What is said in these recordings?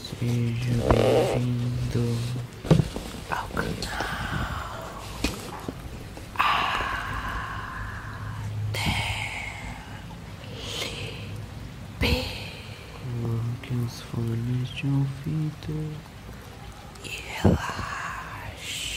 Seja bem-vindo ao canal A ATP. Coloque os folhos de ouvido e relaxe.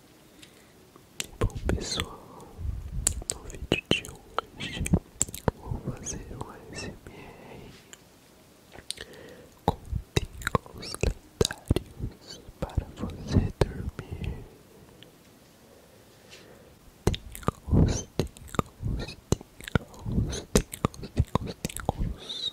Bom pessoal, no vídeo de hoje vou fazer um ASMR com tingles lendários para você dormir ticos ticos ticos ticos ticos ticos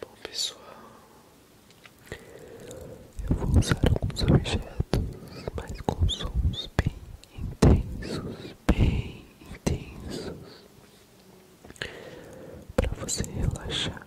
Bom pessoal, eu vou usar alguns objetos, mas com sons bem intensos, bem intensos, para você relaxar.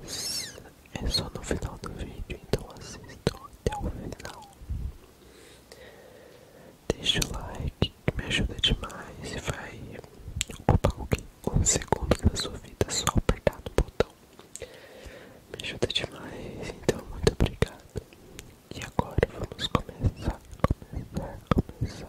Mas é só no final do vídeo, então assista até o final. Deixa o like que me ajuda demais e vai ocupar o um segundo da sua vida só apertar no botão. Me ajuda demais, então muito obrigado. E agora vamos começar, começar, começar.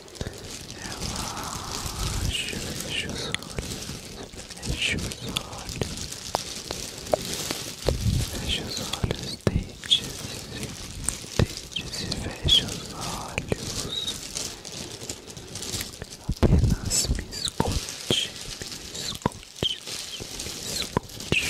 Relaxa, fecha os olhos, fecha os olhos, fecha os olhos, deite-se, deite-se, fecha os olhos, apenas me escute, me escute, me escute.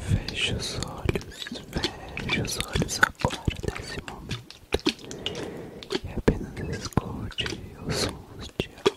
Feche os olhos, feche os olhos agora nesse momento e apenas escute os sons de água.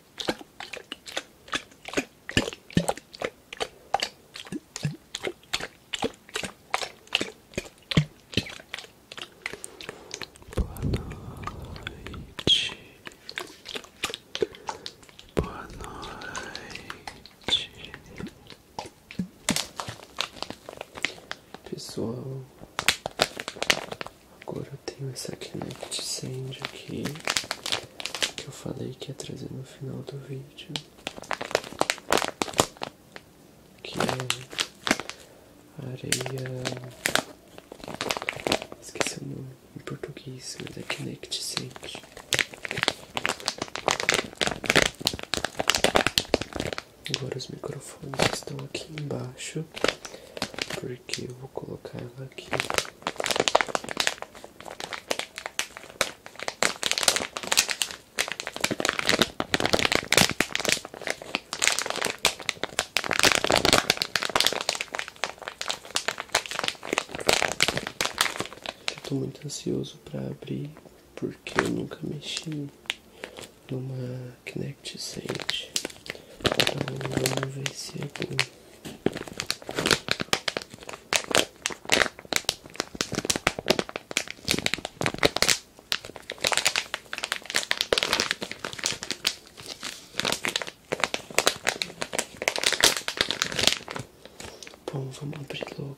Boa noite. Boa noite. Pessoal, Agora eu tenho essa Kinect né, Sand aqui, que eu falei que ia trazer no final do vídeo. Que é areia... Esqueci o nome em português, mas é Kinect Sand. Agora os microfones estão aqui embaixo porque eu vou colocar ela aqui. Estou muito ansioso para abrir porque eu nunca mexi numa Kinect Sente. Então vamos ver se é bom. Bom, vamos abrir logo.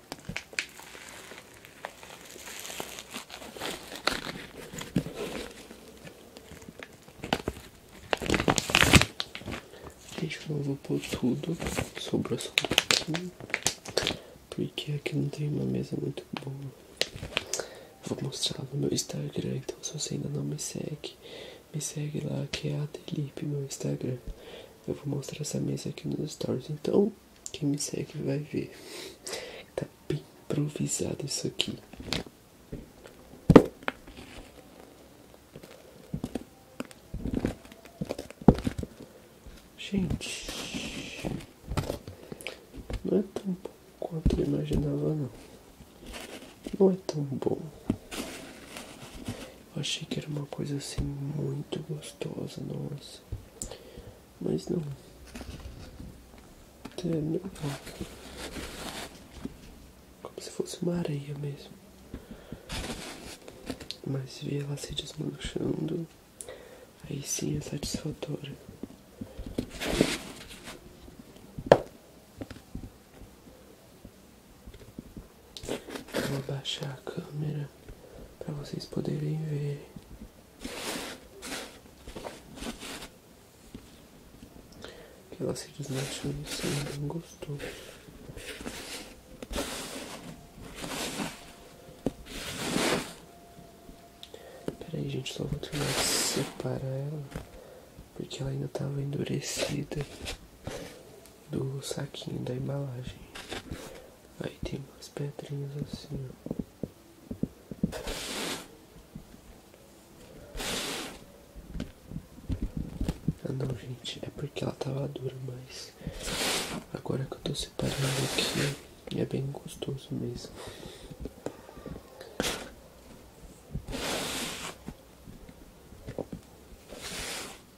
Gente, eu vou pôr tudo, sobrou só um pouquinho, porque aqui não tem uma mesa muito boa. Vou mostrar no meu Instagram, então se você ainda não me segue, me segue lá que é a Delipe, meu Instagram. Eu vou mostrar essa mesa aqui nos stories, então quem me segue vai ver. Tá bem improvisado isso aqui. Gente, não é tão bom quanto eu imaginava, não. Não é tão bom. Eu achei que era uma coisa assim muito gostosa, nossa. Mas não. É normal. É. Como se fosse uma areia mesmo. Mas ver ela se desmanchando, aí sim é satisfatório. Vou abaixar a câmera para vocês poderem ver. Que ela se desmanchou no céu, bem gostoso. Peraí, gente, só vou terminar de separar ela. Porque ela ainda estava endurecida do saquinho da embalagem. Aí tem umas pedrinhas assim, ó. Ah não, gente, é porque ela tava dura, mas agora que eu tô separando aqui é bem gostoso mesmo.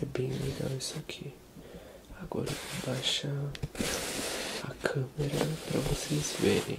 É bem legal isso aqui. Agora eu vou baixar a câmera para vocês verem.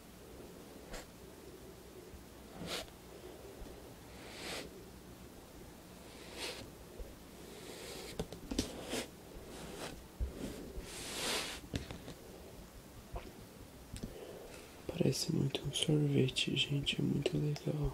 Parece muito um sorvete, gente, é muito legal.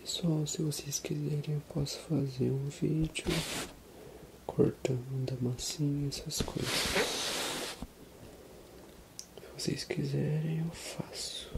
Pessoal, se vocês quiserem eu posso fazer um vídeo cortando massinha, essas coisas. Se vocês quiserem, eu faço.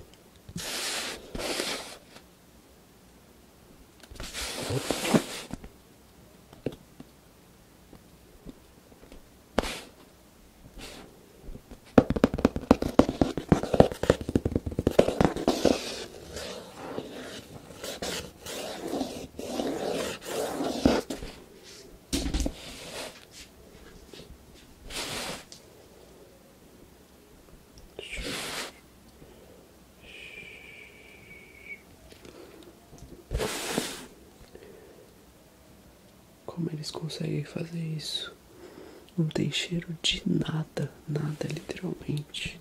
Como eles conseguem fazer isso? Não tem cheiro de nada, nada literalmente.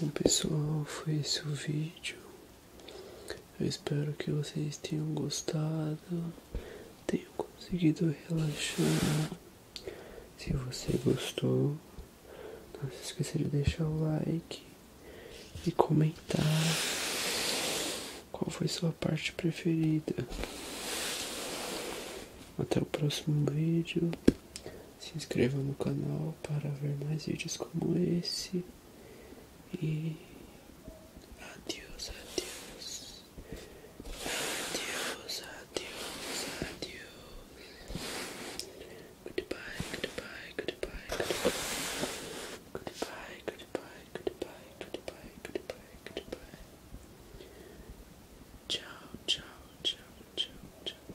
Bom pessoal, foi esse o vídeo. Eu espero que vocês tenham gostado, tenham conseguido relaxar. Se você gostou, não se esqueça de deixar o like e comentar qual foi sua parte preferida. Até o próximo vídeo. Se inscreva no canal para ver mais vídeos como esse. E adeus, adeus. Adeus, adeus, adeus. Goodbye, goodbye, goodbye, goodbye. Goodbye, goodbye, goodbye, goodbye, goodbye, goodbye. Tchau, tchau, tchau, tchau, tchau, tchau,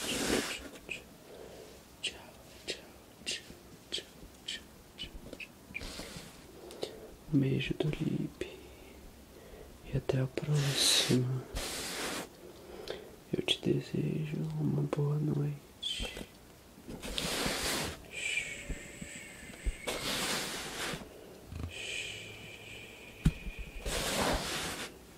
tchau, tchau. Tchau, tchau, tchau, tchau, tchau, tchau, Um beijo do Lipe. E até a próxima. Eu te desejo uma boa noite.